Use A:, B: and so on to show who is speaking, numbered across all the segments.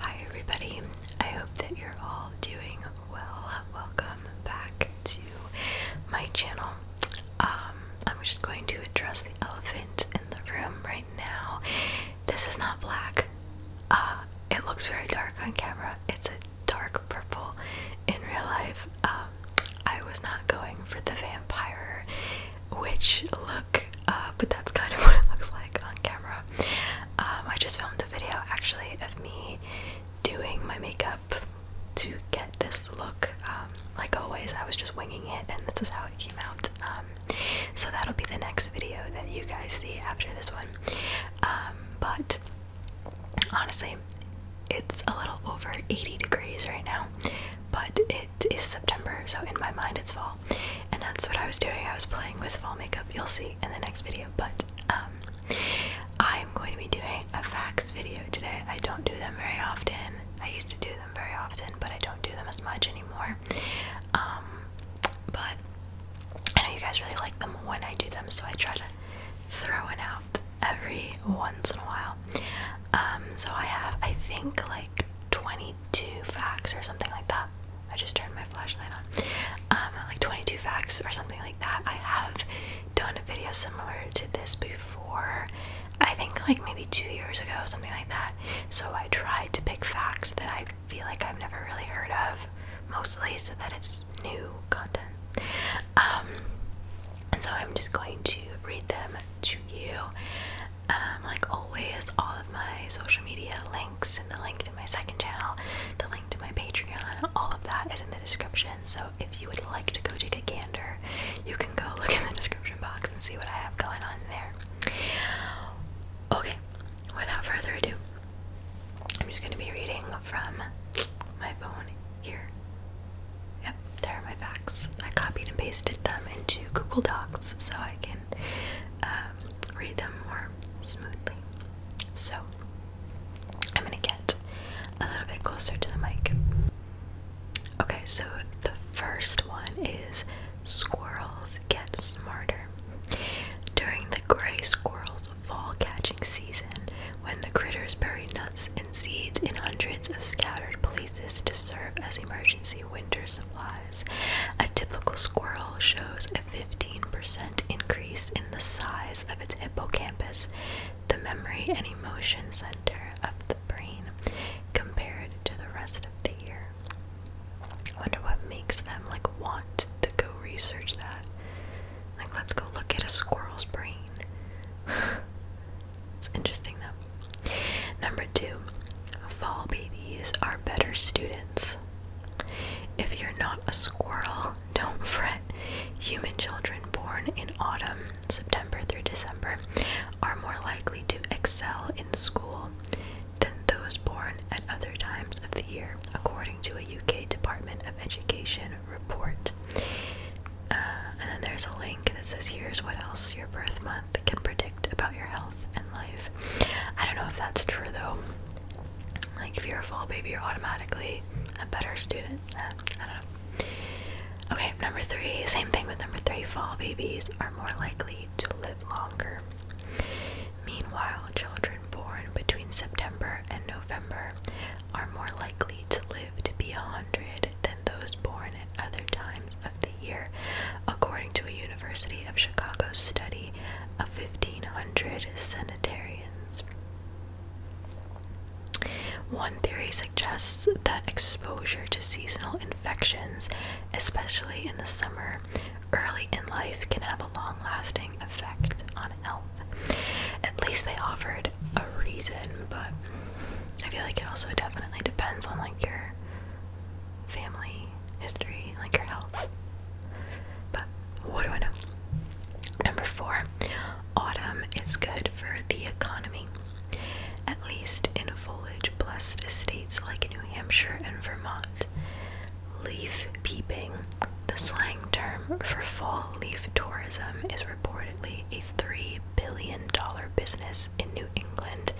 A: Hi, everybody. I hope that you're all doing well. Welcome back to my channel. Um, I'm just going to address the elephant in the room right now. This is not black. Uh, it looks very dark on camera. It's a dark purple in real life. Um, I was not going for the vampire witch look, uh, but that's kind of what it looks like on camera. Um, I just filmed a video actually of me doing my makeup to get this look. Um, like always, I was just winging it, and this is how it came out. Um, so that'll be the next video that you guys see after this one. Um, but honestly, it's a little over 80 degrees right now, but it is September, so in my mind it's fall. And that's what I was doing. I was playing with fall makeup. You'll see in the next video, but I'm um, going to be doing a facts video today. I don't do them very often. I used to do them very often, but I don't do them as much anymore. Um, but I know you guys really like them when I do them, so I try to throw it out every once in a while. Um, so I have, I think, like 22 facts or something like that. I just turned my flashlight on. Um, like 22 facts or something like that. I have done a video similar to this before. I think like maybe two years ago, or something like that. So I tried to pick facts that I feel like I've never really heard of, mostly so that it's new content. Um, and so I'm just going to read them to you. Um, like always, all of my social media links and the link to my second channel, the link to my Patreon, all of that is in the description. So if you would like to go take a gander, you can go look in the description box and see what I have going on there. Okay, without further ado, I'm just going to be reading from my phone here. Yep, there are my facts. I copied and pasted them into Google Docs so I can um, read them more smoothly. So, I'm going to get a little bit closer to the mic. Okay, so the first one is squirrels get smarter. During the gray squirrel's fall catching season, when the critters bury nuts and seeds in hundreds of scattered places to serve as emergency winter supplies, a typical squirrel shows a 15% increase in the size of its hippocampus, the memory and emotion center of the brain, compared to the rest of the year. I wonder what makes them like want to go research that. Like, let's go look at a squirrel's brain. it's interesting though. Number two, fall babies are better students. If you're not a squirrel, don't fret. Human children born in autumn, September through December, are more likely to excel in school than those born at other times of the year, according to a UK Department of Education report. Uh, and then there's a link that says, Here's what else your birth month can predict about your health and life. I don't know if that's true though. Like, if you're a fall baby, you're automatically a better student. I don't know. Okay, number three, same thing with number three fall babies are more likely to live longer. Meanwhile, children born between September and November are more likely to live to be 100 than those born at other times of the year, according to a University of Chicago study of 1,500 sanitarians. One theory suggests that exposure to seasonal infections, especially in the summer, early in life can have a long lasting effect on health. At least they offered a reason, but I feel like it also definitely depends on like your family history, like your health. But what do I know? Number four, autumn is good for the economy. At least in foliage blessed states like New Hampshire and Vermont leaf peeping. The slang term for fall leaf tourism is reportedly a $3 billion business in New England,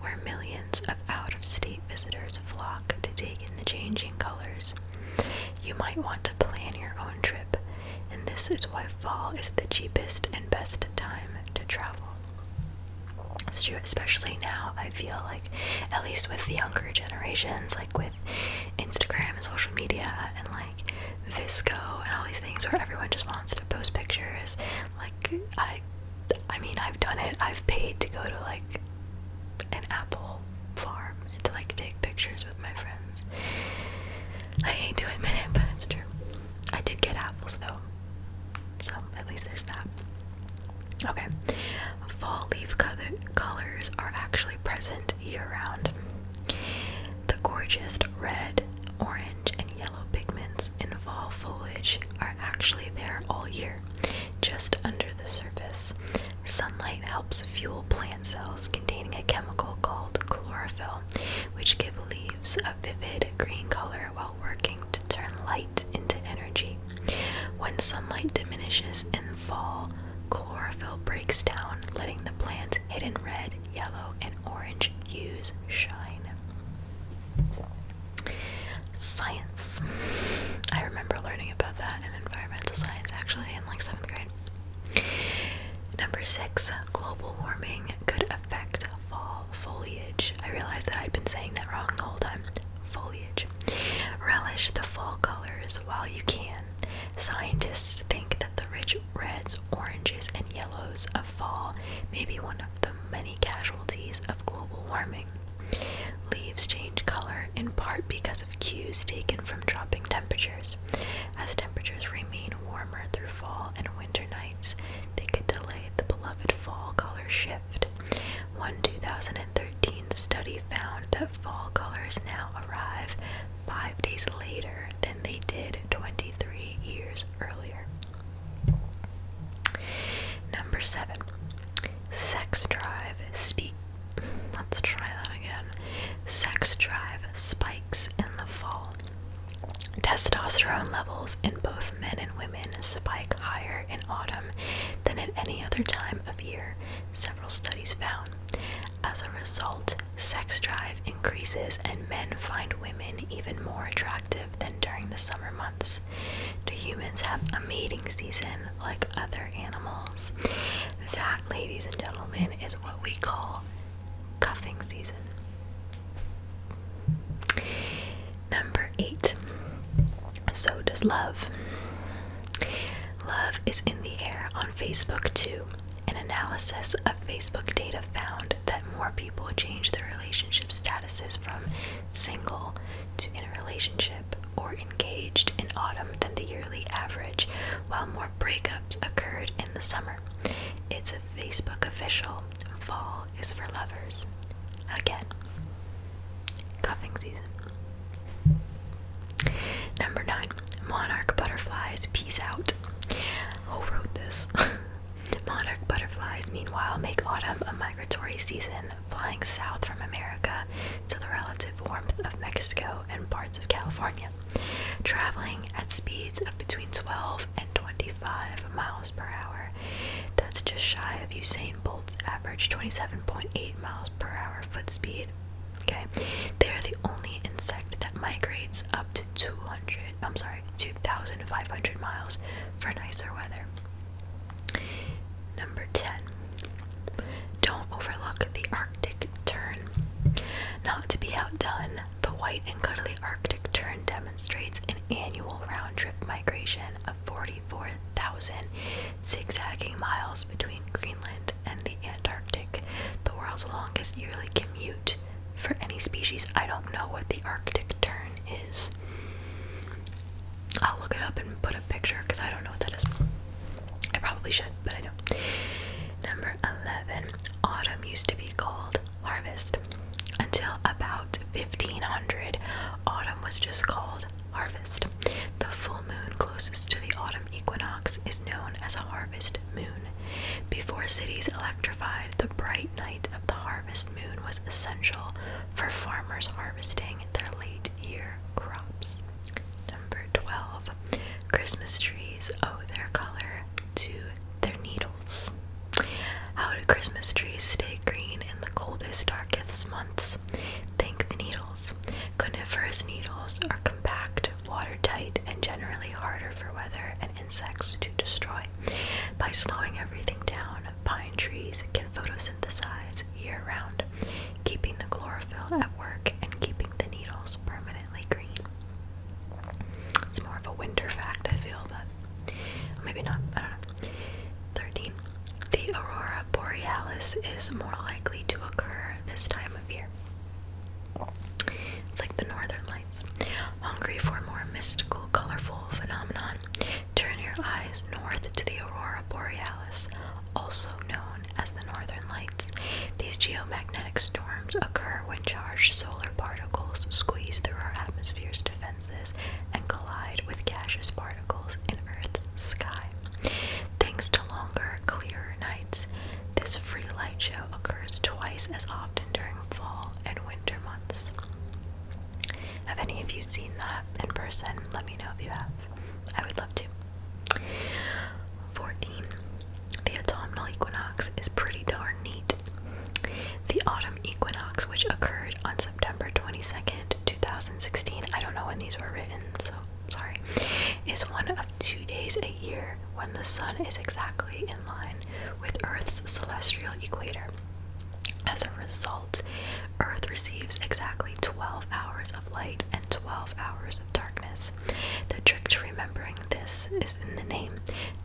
A: where millions of out of state visitors flock to take in the changing colors. You might want to plan your own trip, and this is why fall is the cheapest and best time to travel true, especially now. I feel like, at least with the younger generations, like with Instagram and social media and like Visco and all these things where everyone just wants to post pictures. Like, I, I mean, I've done it. I've paid to go to like an apple farm and to like take pictures with my friends. I hate to admit it, but it's true. I did get apples though. So, at least there's that. Okay, fall leaf colors are actually present year round. The gorgeous red, orange, and yellow pigments in fall foliage are actually there all year, just under the surface. Sunlight helps fuel plant cells containing a chemical called chlorophyll, which give leaves vivid green color while working to turn light into energy. When sunlight diminishes in fall, chlorophyll breaks down, letting the plant's hidden red, yellow, and orange hues shine. Science. I remember learning about that in environmental science actually in like seventh grade. Number six, global warming could affect fall foliage. I realized that I'd been saying that wrong the whole time. Foliage. Relish the fall colors while you can. Scientists think that the rich reds, oranges, and yellows of fall may be one of the many casualties of global warming. Leaves change color in part because of cues taken from dropping temperatures. As temperatures remain warmer through fall and winter winter nights, they could delay the beloved fall color shift. One 2013 study found that fall colors now arrive five days later than they did 23 years earlier. Number seven, sex drive spikes in the fall. Testosterone levels in both men and women spike higher in autumn than at any other time of year, several studies found. As a result, sex drive increases and men find women even more attractive than during the summer months. Do humans have a mating season like other animals? That, ladies and gentlemen, is what we call cuffing season. Number eight. So does love. Love is in the air on Facebook too. An analysis of Facebook data found that more people change their relationship statuses from single to in a relationship or engaged in autumn than the yearly average, while more breakups occurred in the summer. It's a Facebook official fall is for lovers. Again, cuffing season. Number nine, monarch butterflies. Peace out. Who wrote this? monarch butterflies, meanwhile, make autumn a migratory season, flying south from America to the relative warmth of Mexico and parts of California, traveling at speeds of between 12 and 25 miles per hour. That's just shy of Usain Bolt's average 27.8 miles per hour foot speed. Okay, they are the only insect that migrates up to 200. I'm sorry, 2,500 miles for nicer weather. Number 10. Don't overlook the Arctic tern. Not to be outdone, the white and cuddly Arctic tern demonstrates an annual round trip migration of 44,000 zigzagging miles between Greenland and the Antarctic, the world's longest yearly commute for any species. I don't know what the Arctic tern is. I'll look it up and put a picture because I don't know what that is. I probably should, but I don't. Number 11. Autumn used to be called harvest. Until about 1500, autumn was just called harvest. The full moon closest to the autumn equinox is known as a harvest moon. Before cities electrified, the bright night of the harvest moon was essential for farmers harvesting their late year crops. Number 12. Christmas trees owe their color to their needles. How do Christmas trees stay green in the coldest, darkest months? Think the needles. Coniferous needles are compact, watertight, and generally harder for weather and insects to destroy. By slowing everything down, pine trees can photosynthesize year round, keeping the chlorophyll at work and keeping the needles permanently green. It's more of a winter fact, I feel, but maybe not, 13. The aurora borealis is more likely to occur this time of year. It's like the northern lights. Hungry for more mystical, colorful phenomenon, turn your eyes north to the aurora borealis, also known as the northern lights. These geomagnetic storms occur when charged solar particles squeeze through our atmosphere's defenses and collide with gaseous particles in Earth's sky. Thanks to longer, clearer nights, this free light show occurs twice as often during fall and winter months. Have any of you seen that in person? Let me know if you have. I would love to. 14. The autumnal equinox is pretty darn neat. The autumn equinox, which occurred on September 22nd, 2016, I don't know when these were written, so sorry, is one of two days a year when the sun is exactly in line with Earth's celestial equator. As a result, Earth receives exactly 12 hours of light and 12 hours of darkness. The trick to remembering this is in the name.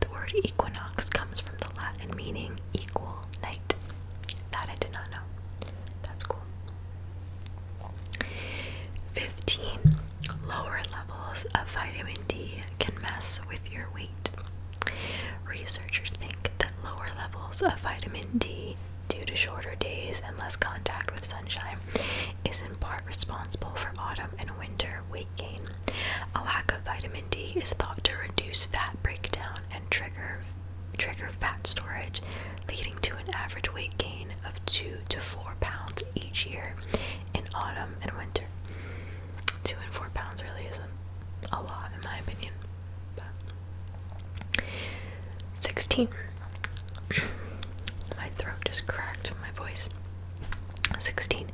A: The word equinox comes from the Latin meaning equal night. That I did not know. That's cool. 15. Lower levels of vitamin D can mess with your weight. Researchers think that lower levels of vitamin D, due to shorter days and less contact with sunshine, is in part responsible for autumn and winter weight gain. A lack of vitamin D is thought to reduce fat breakdown and trigger trigger fat storage, leading to an average weight gain of two to four pounds each year in autumn and winter. Two and four pounds really isn't a lot in my opinion. 16. my throat just cracked my voice. 16.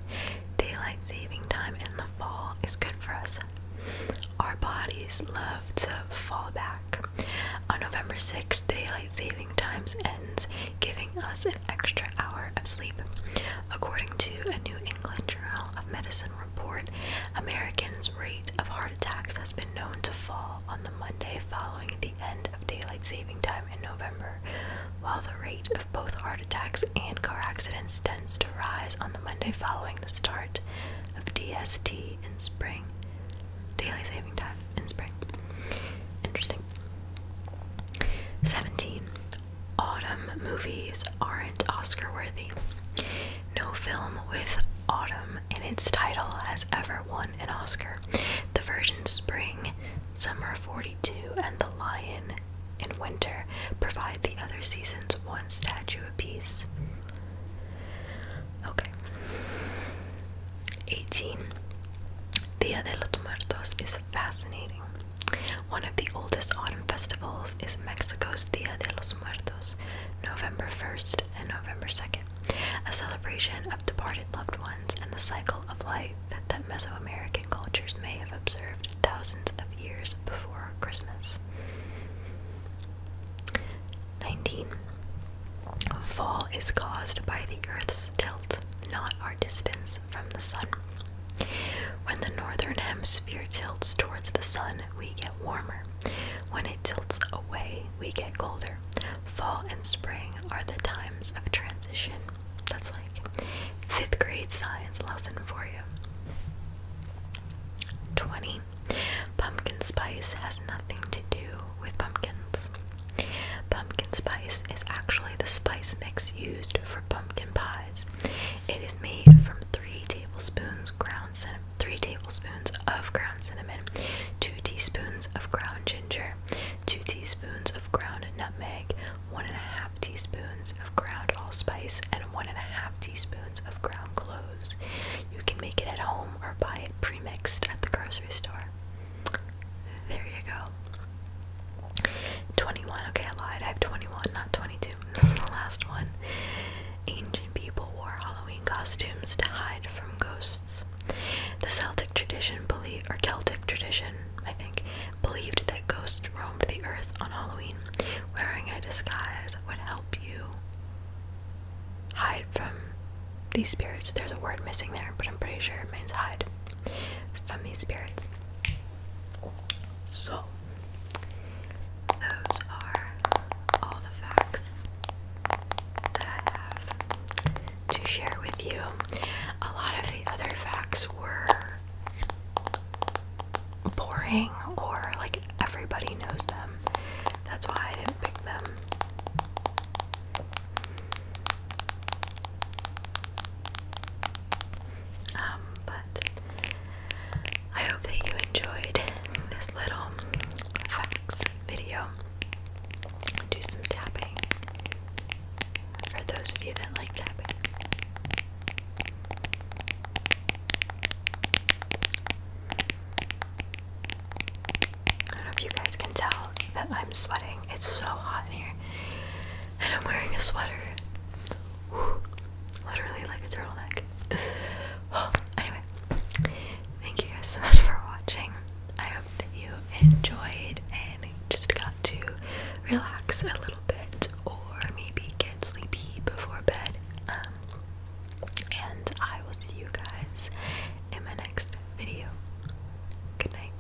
A: Daylight saving time in the fall is good for us. Our bodies love to fall back. On November 6th, daylight saving time ends, giving us an extra hour of sleep. According to a New England Journal of Medicine report, Americans' rate of heart attacks has been known to fall on the Monday following the end of daylight saving time in November, while the rate of both heart attacks and car accidents tends to rise on the Monday following the start of DST in spring. Daily saving time in spring. Interesting. 17. Autumn movies aren't Oscar worthy. No film with autumn in its title has ever won an Oscar. The version spring Summer 42 and the Lion in winter provide the other seasons one statue apiece. Okay. 18. Dia de los Muertos is fascinating. One of the oldest autumn festivals is Mexico's Dia de los Muertos, November 1st and November 2nd, a celebration of departed loved ones and the cycle of life that Mesoamerican cultures may have observed thousands of years before Christmas. 19. Fall is caused by the Earth's tilt, not our distance from the Sun. When the northern hemisphere tilts towards the Sun, we get warmer. When it tilts away, we get colder. Fall and spring are the times of transition that's like fifth grade science lesson for you. 20. Pumpkin spice has nothing to do with pumpkins. Pumpkin spice is actually the spice mix used for pumpkin pies. It is made from 3 tablespoons ground 3 tablespoons of ground cinnamon, 2 teaspoons of ground ginger, 2 teaspoons of ground nutmeg, one and a half teaspoons of ground allspice, and one and a half teaspoons of ground cloves. You can make it at home or buy it premixed at the grocery store. There you go. 21. Okay, I lied. I have 21, not 22. This is the last one. Ancient people wore Halloween costumes to hide from ghosts. The Celtic tradition or Celtic tradition, I think, believed that ghosts roamed the earth on Halloween. Wearing a disguise would help you hide from these spirits. There's a word missing there, but I'm pretty sure it means hide from these spirits. So those are all the facts that I have to share with you. A lot of the other facts were boring or like everybody knows them. That's why I didn't pick them. Um, but I hope that you enjoyed this little facts video do some tapping. For those of you that like tapping. I don't know if you guys can tell that I'm sweating. It's so hot in here. And I'm wearing a sweater. Literally like a turtleneck. anyway, thank you guys so much for watching. I that you enjoyed and just got to relax a little bit or maybe get sleepy before bed. Um, and I will see you guys in my next video. Good night.